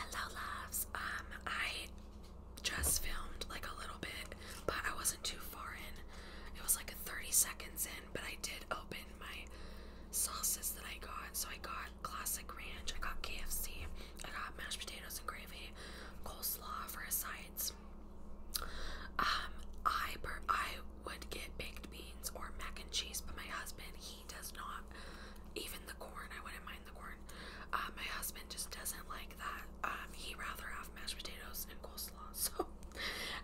Hello loves. Um I just filmed like a little bit, but I wasn't too far in. It was like 30 seconds in, but I did open my sauces that I got. So I got classic ranch, I got KFC, I got mashed potatoes and gravy, coleslaw for his sides. Um I I would get baked beans or mac and cheese, but my husband, he he does not. Even the corn, I wouldn't mind the corn. Uh, my husband just doesn't like that. Um, he rather have mashed potatoes and coleslaw. So,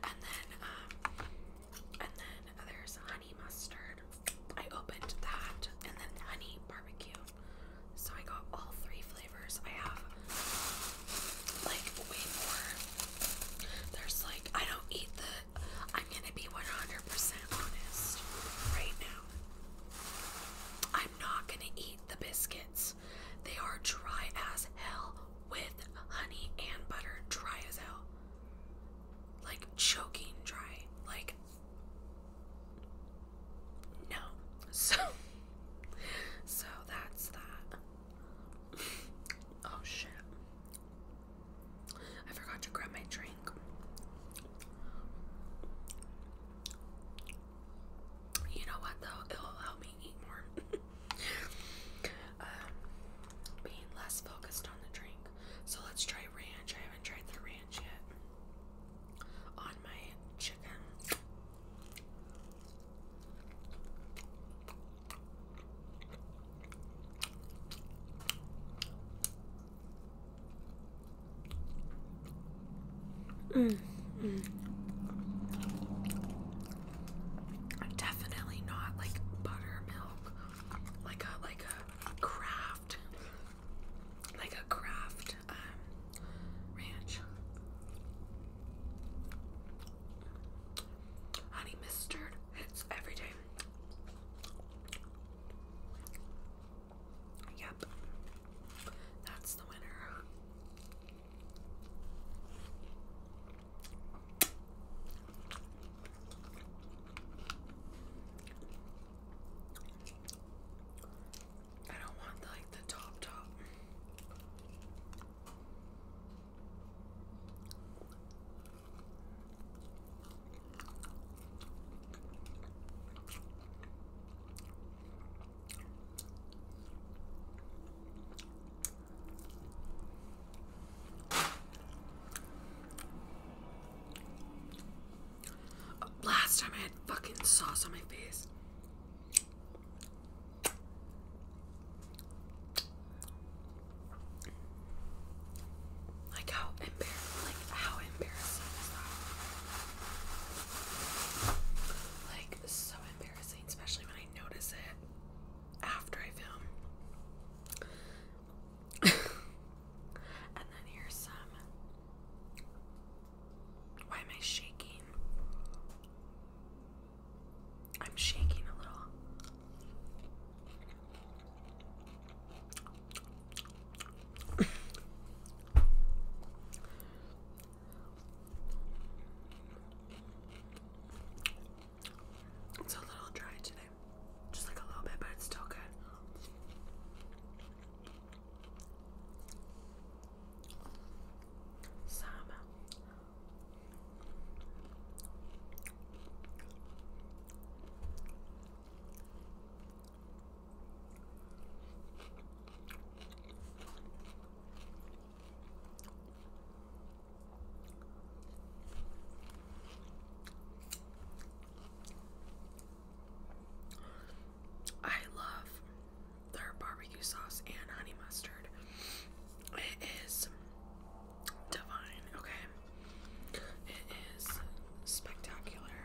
and then, um, and then there's honey mustard. I opened that, and then honey barbecue. So I got all three flavors. I have like way more. There's like I don't eat the I'm gonna be 100% honest right now. I'm not gonna eat the biscuits. They are dry as hell with honey and butter, dry as hell. Like choking dry. Like, no. So, so that's that. oh shit. I forgot to grab my drink. You know what though? It'll help me eat more. um, being less focused on the drink. So let's try ranch. I haven't tried the ranch yet on my chicken. Mm, Definitely not like buttermilk, like a like a craft, like a craft um, ranch. Honey mustard It's every day. Yep. That's the winner. I don't want like the top top. Last time I had fucking sauce on my face. Like how embarrassing, like how embarrassing is that? Like so embarrassing, especially when I notice it after I film. and then here's some. Why am I shaking? I'm shaking a little it's a little dry today. Just like a little bit, but it's still good. Some I love their barbecue sauce and honey mustard. It is divine, okay? It is spectacular.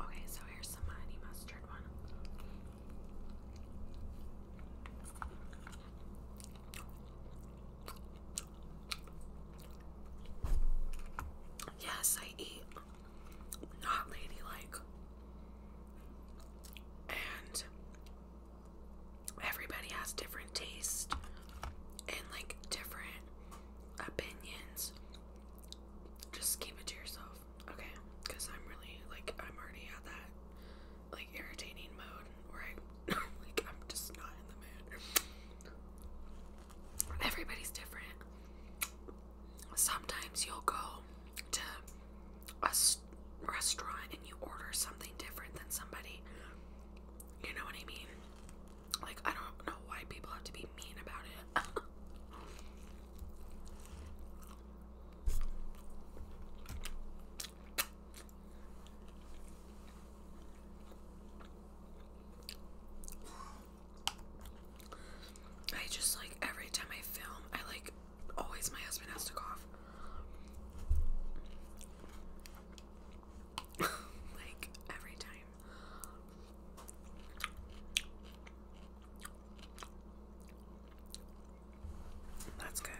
Okay, so here's some honey mustard one. Yes, I eat not ladylike. And everybody has different tastes and like different opinions. Just keep it to yourself, okay? Because I'm really like I'm already at that like irritating mode where I like I'm just not in the mood. Everybody's different. Sometimes you'll go to a restaurant and you order something different than somebody. You know what I mean? Like, I don't know why people have to be mean about it. I just like every time I film, I like Always my husband has to cough. like every time. That's good.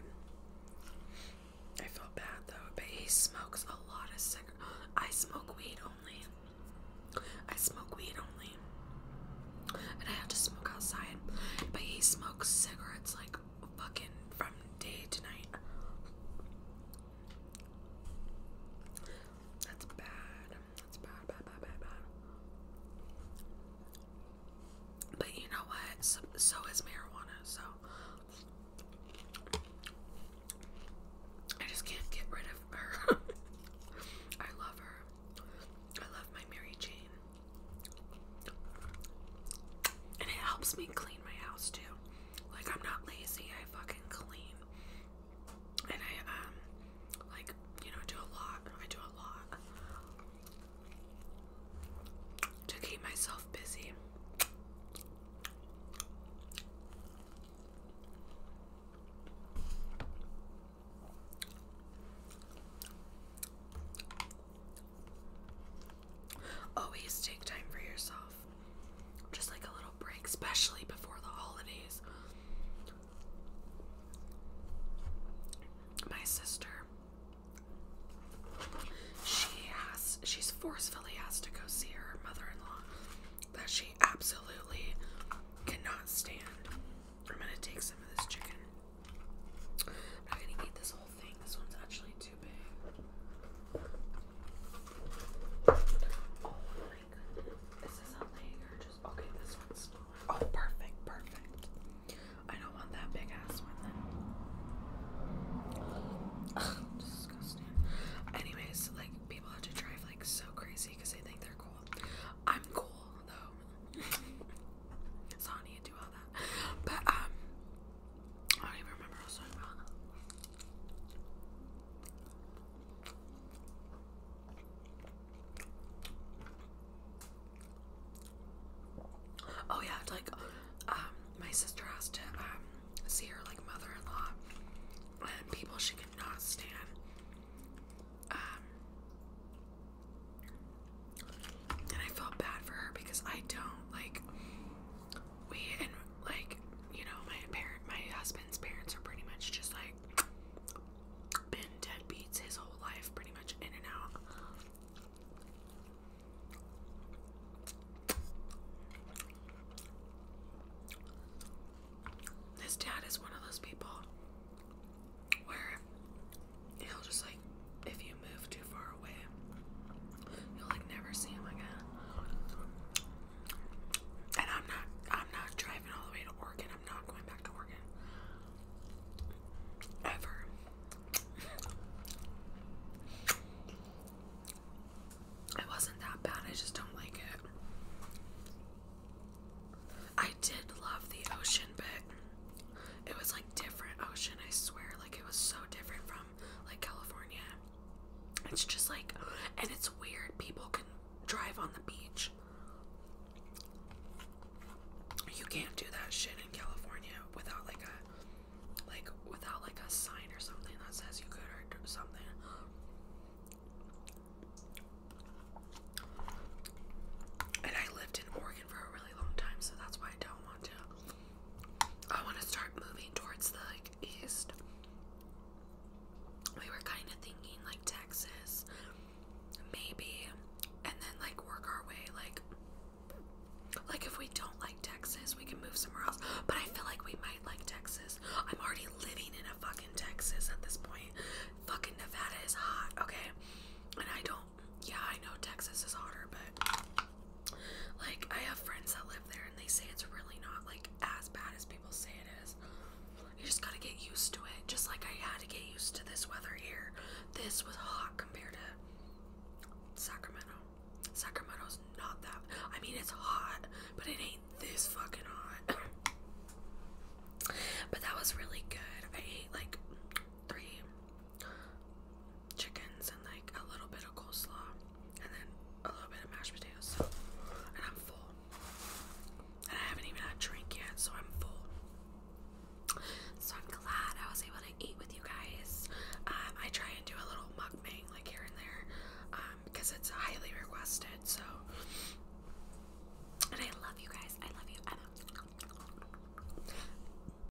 I feel bad though, but he smokes a lot of cigarettes. I smoke weed only. I smoke weed only. And I have to smoke outside. But he smokes cigarettes like fucking from day to night. That's bad. That's bad, bad, bad, bad, bad. But you know what? So, is marijuana. So I just can't get rid of her. I love her. I love my Mary Jane. And it helps me clean my house too. Like I'm not lazy, I fucking clean. And I um like, you know, do a lot. I do a lot. To keep myself busy. Always take time for yourself. Just like a little break, especially before the holidays. My sister, she has, she's forcefully asked to go see her mother-in-law that she absolutely cannot stand. I'm gonna take some of this chicken not gonna eat this whole thing. This one's actually too big. Oh my goodness. Is this a leg or just okay, this one's Oh perfect, perfect. I don't want that big ass one then. disgusting. Anyways, like people have to drive like so crazy because they think they're cool. I'm cool though. So I do all that. But um I don't even remember I was talking about. Oh yeah, like um my sister has to um see her like mother-in-law and people she cannot stand. Um and I felt bad for her because I don't like we and like you know my parent my husband's parents are pretty much just like been deadbeats his whole life pretty much in and out. His dad is one of those people where he'll just like if you move too far away, you'll like never see him again. And I'm not I'm not driving all the way to Oregon. I'm not going back to Oregon. Ever. It wasn't that bad, I just don't like it. I did love the ocean, but it was like different ocean, I swear. Like it was so different from like California. It's just like, and it's weird. People can drive on the beach. You can't do that shit in California without like a, like without like a sign or something that says you could or something. And I lived in Oregon for a really long time, so that's why I don't want to I want to start moving towards the east. We were kind of thinking like Texas, maybe, and then like work our way like like if we don't like Texas, we can move somewhere else. But I feel like we might like Texas. I'm already living in a fucking Texas at this point. Fucking Nevada is hot, okay? And I don't yeah, I know Texas is hotter, but like I have friends that live there and they say it's really not like as bad as people say it is. You just gotta get used to it. Just like I had to get used to this weather here. This was hot compared to Sacramento. Sacramento's not that I mean it's hot, but it ain't this fucking hot. but that was really good. I ate like three chickens and like a little bit of coleslaw and then a little bit of mashed potatoes. So, and I'm full. And I haven't even had a drink yet, so I'm full. So I'm glad I was able to eat with you guys. Um, I try and do a little mukbang like here and there because um, it's highly requested. So, and I love you guys. I love you. I love you.